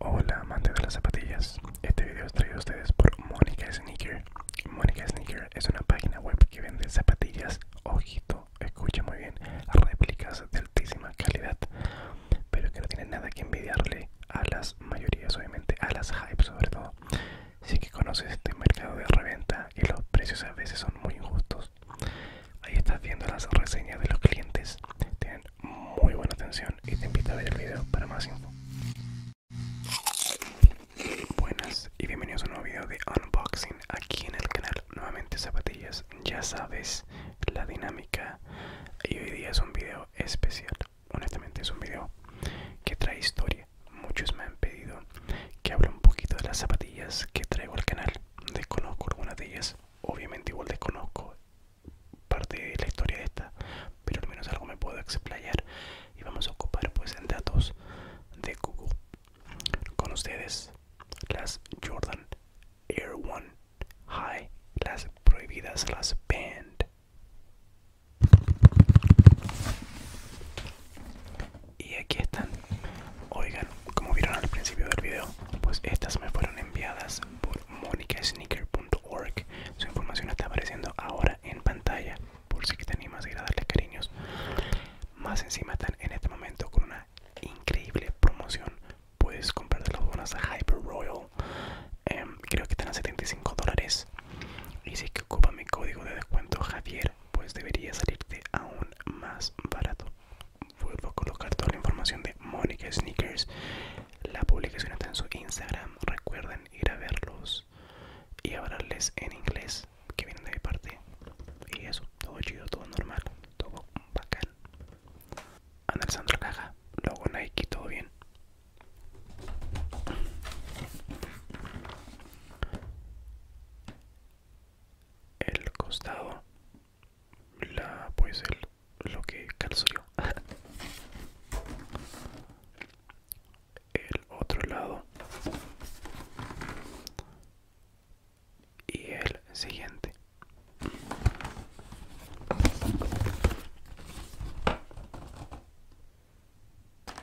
Hola amantes de las zapatillas, este video es traído a ustedes por Mónica Sneaker. Mónica Sneaker es una página web que vende zapatillas, ojito, escucha muy bien, réplicas de altísima calidad, pero que no tienen nada que envidiarle a las mayorías, obviamente a las hypes sobre todo. si que conoces este mercado de reventa y los precios a veces son muy injustos. Ahí estás viendo las reseñas de los clientes, tienen muy buena atención y te invito a ver el video para más info. Buenas y bienvenidos a un nuevo video de unboxing aquí en el canal. Nuevamente zapatillas, ya sabes la dinámica y hoy día es un video especial. Honestamente es un video que trae historia. Muchos me han pedido que hable un poquito de las zapatillas que traigo al canal. Desconozco algunas de ellas, obviamente igual desconozco parte de la historia de esta pero al menos algo me puedo explayar y vamos a ocupar pues en datos de Google con ustedes las Jordan Air One High las prohibidas las Band y aquí están oigan como vieron al principio del video pues estas me fueron enviadas por Sneaker monicasneaker.com su información está apareciendo ahora en pantalla por si te animas a ir a darle cariños. Más encima están en este momento con una increíble promoción. Puedes comprar las bonas a Hyper Royal. Em, creo que están a 75 dólares. Y si que ocupa mi código de descuento Javier, pues debería salirte aún más barato. Vuelvo a colocar toda la información de Mónica Sneakers la publicación está en su Instagram. Recuerden ir a verlos y hablarles en inglés que vienen de mi parte. Y eso, todo chido, todo normal, todo bacán. Ana la Caja, luego Nike, todo bien. El costado, la pues el lo que yo el otro lado y el siguiente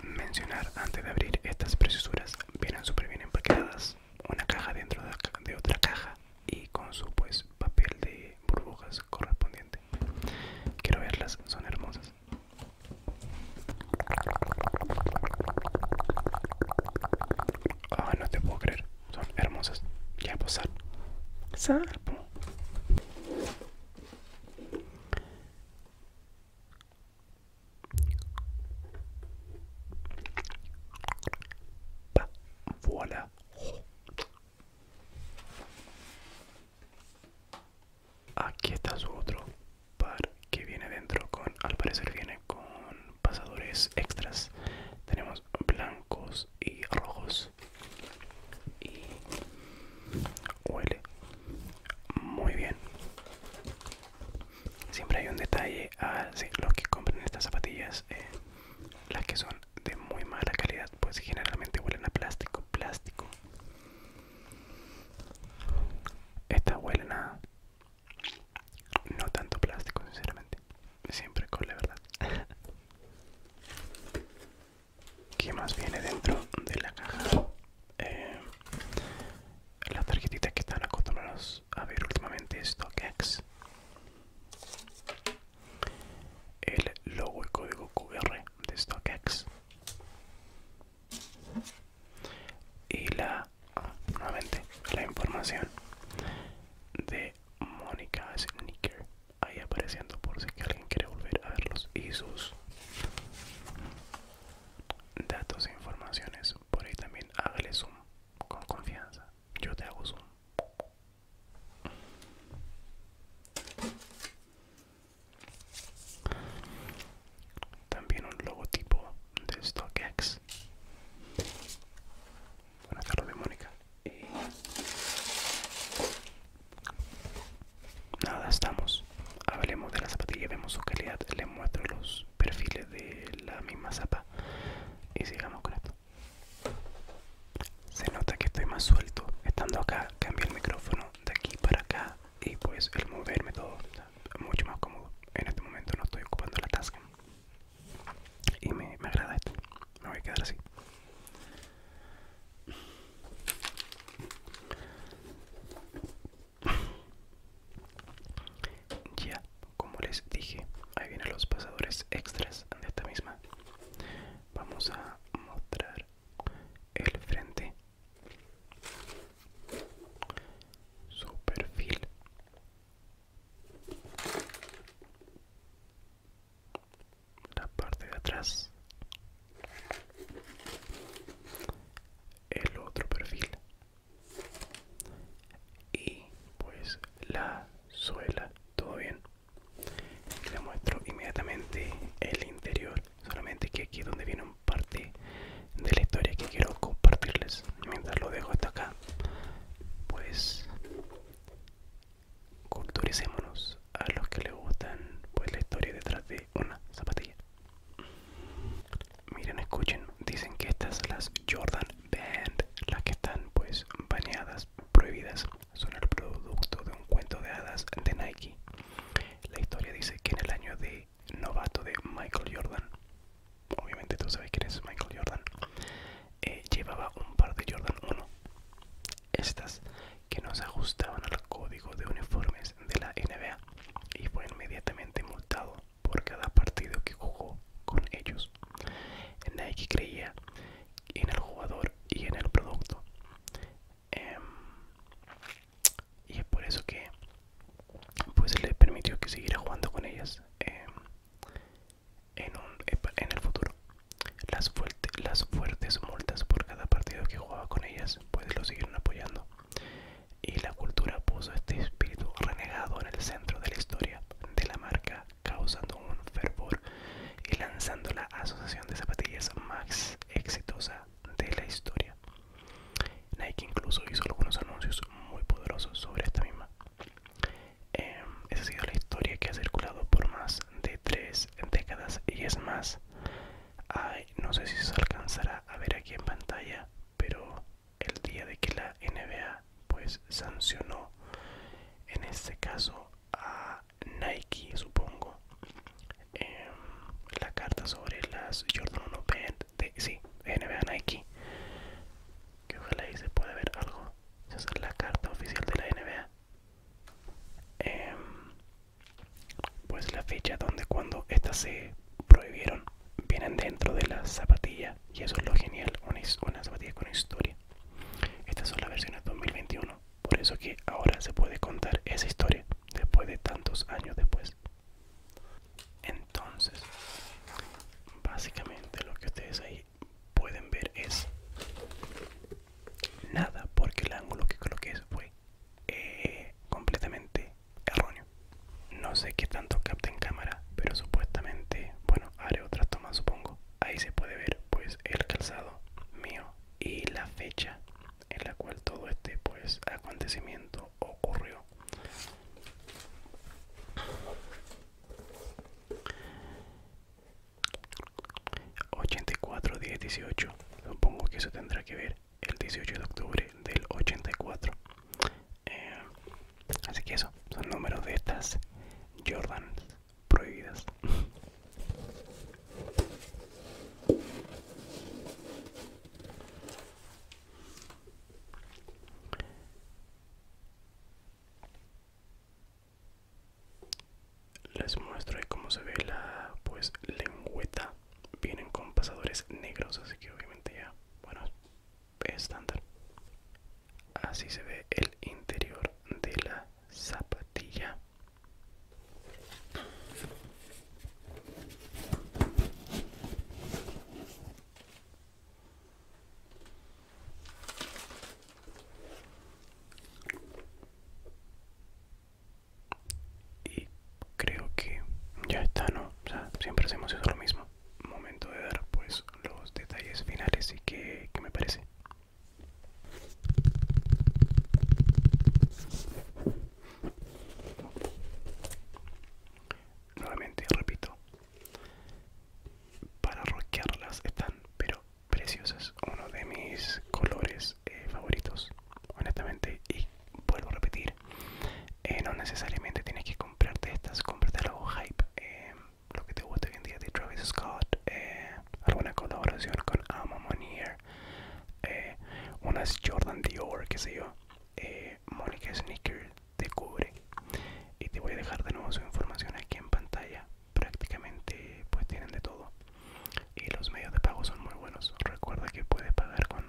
mencionar antes de abrir estas preciosuras vienen súper bien empaquetadas una caja dentro de otra caja y con su pues papel de burbujas correspondiente quiero verlas son hermosas ah no te puedo creer son hermosas ya pues sal Aquí está su otro par que viene dentro con, al parecer viene con pasadores extras. Tenemos blancos y rojos. Y huele muy bien. Siempre hay un detalle a ah, los que compran estas zapatillas, eh, las que son de muy mala calidad pues generalmente huelen a plástico plástico esta huelen a no tanto plástico sinceramente siempre con la verdad ¿Qué más viene dentro de la caja? Eh, las tarjetitas que están acostumbrados a ver últimamente StockX el logo y código QR de StockX y la nuevamente la información de Mónica Sneaker ahí apareciendo por si alguien quiere volver a verlos y sus datos e informaciones por ahí también hágale zoom con confianza yo te hago zoom también un logotipo de StockX. Buenas tardes, Mónica. Nada, estamos. Hablemos de la zapatilla, vemos su calidad, le muestro los perfiles de la misma zapa y sigamos con esto. Se nota que estoy más suelto. Estando acá, cambié el micrófono de aquí para acá y pues el moverme todo mucho más cómodo. En este momento no estoy ocupando la tasca. Y me, me agrada esto. Me voy a quedar así. Ya, como les dije, ahí vienen los pasadores extras de esta misma vamos a mostrar el frente su perfil la parte de atrás el otro perfil y pues la suela todo bien les muestro inmediatamente el interior solamente que aquí es donde viene parte de la historia que quiero compartirles mientras lo dejo hasta acá pues culturicémonos a los que les gustan pues la historia detrás de una zapatilla miren escuchen dicen que estas las jordan band las que están pues bañadas prohibidas son el producto de un cuento de hadas de Nike. La historia dice que en el año de novato de Michael Jordan, obviamente tú sabes quién es Michael Jordan, eh, llevaba un par de Jordan 1. Estas que no se ajustaban al código de uniformes de la NBA y fue inmediatamente multado por cada partido que jugó con ellos. Nike creía en el jugador y en el producto Em, y es por eso que pues se permitió que siguiera jugando con ellas em, en, el futuro las, fuertes las fuertes multas por cada partido que jugaba con ellas pues lo siguieron apoyando y la cultura puso este espíritu renegado en el centro de la historia de la marca causando un fervor y lanzando la asociación de zapatillas más exitosa de la historia. Nike incluso hizo algunos anuncios muy poderosos sobre esta misma. Em, esa ha sido la historia que ha circulado por más de tres décadas y es más, no sé si se alcanzará a ver aquí en pantalla, pero el día de que la NBA pues sancionó en este caso a Nike supongo em, la carta sobre las Jordan 1 sí, NBA Nike que ojalá ahí se puede ver algo esa es la carta oficial de la NBA em, pues la fecha donde cuando estas se prohibieron vienen dentro de la zapatilla y eso es lo genial una, una zapatilla con historia estas son las versiones 2021 por eso que ahora se puede contar esa historia después de tantos años después. Entonces, básicamente lo que ustedes ahí pueden ver es nada porque el ángulo que coloqué fue eh, completamente erróneo. No sé qué tanto capta en cámara, pero supuestamente, bueno, haré otra toma supongo. Ahí se puede ver pues el calzado mío y la fecha en la cual todo este pues acontecimiento ocurrió ¿84, 10, 18? Supongo que eso tendrá que ver el 18 de octubre del 84. Eh, así que eso, son números de estas Jordans prohibidas. Les muestro cómo se ve la pues lengüeta. Vienen con pasadores negros, así que obviamente ya, bueno, estándar. Así se ve el interior de la zapatilla y creo que ya está, ¿no? O sea, siempre hacemos eso lo mismo. Momento de dar pues los detalles finales y qué qué me parece. Nuevamente repito, para roquearlas están pero preciosas, uno de mis colores eh, favoritos, honestamente. Y vuelvo a repetir, eh, no necesariamente tienes que comprarte estas, comprarte algo hype, em, lo que te gusta hoy en día de Travis Scott, eh, alguna colaboración con Amon eh, unas Jordan Dior, qué sé yo. Eh, Mónica Sneaker de cubre. Y te voy a dejar de nuevo su información aquí en pantalla. Prácticamente pues tienen de todo. Y los medios de pago son muy buenos. Recuerda que puedes pagar con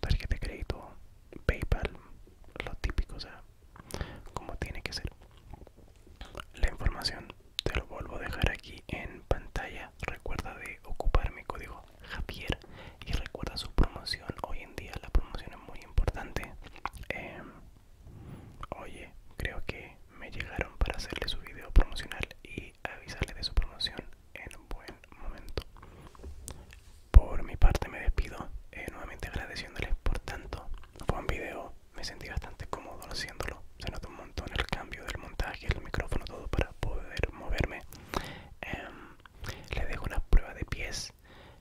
tarjeta de crédito, PayPal, lo típico, o sea, como tiene que ser. La información te lo vuelvo a dejar aquí en pantalla recuerda de ocupar mi código Javier y recuerda su promoción hoy en día la promoción es muy importante em, oye creo que me llegaron para hacerle su video promocional y avisarle de su promoción en un buen momento por mi parte me despido eh, nuevamente agradeciéndoles por tanto fue un video me sentí bastante cómodo haciéndolo se nota un montón el cambio del montaje, el micrófono, todo para poder moverme. Em, le dejo una prueba de pies.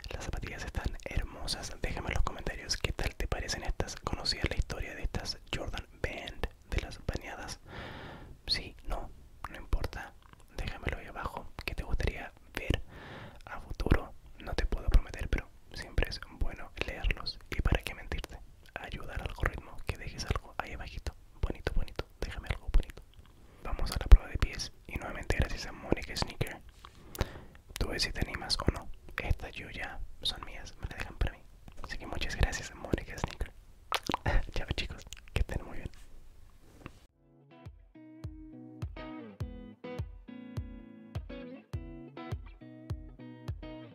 Las zapatillas están hermosas. Déjame en los comentarios qué tal te parecen estas. ¿Conocías la historia de estas Jordan Band de las bañadas? Sí, no, no importa. Déjamelo ahí abajo. ¿Qué te gustaría ver a futuro? No te puedo prometer, pero siempre es bueno leerlos. ¿Y para qué mentirte? ayudar al algoritmo que dejes algo ahí abajito bonito bonito déjame algo bonito vamos a la prueba de pies y nuevamente gracias a Mónica Sneaker tú ves si te animas o no estas yo ya son mías me las dejan para mí así que muchas gracias a Mónica Sneaker chao chicos que estén muy bien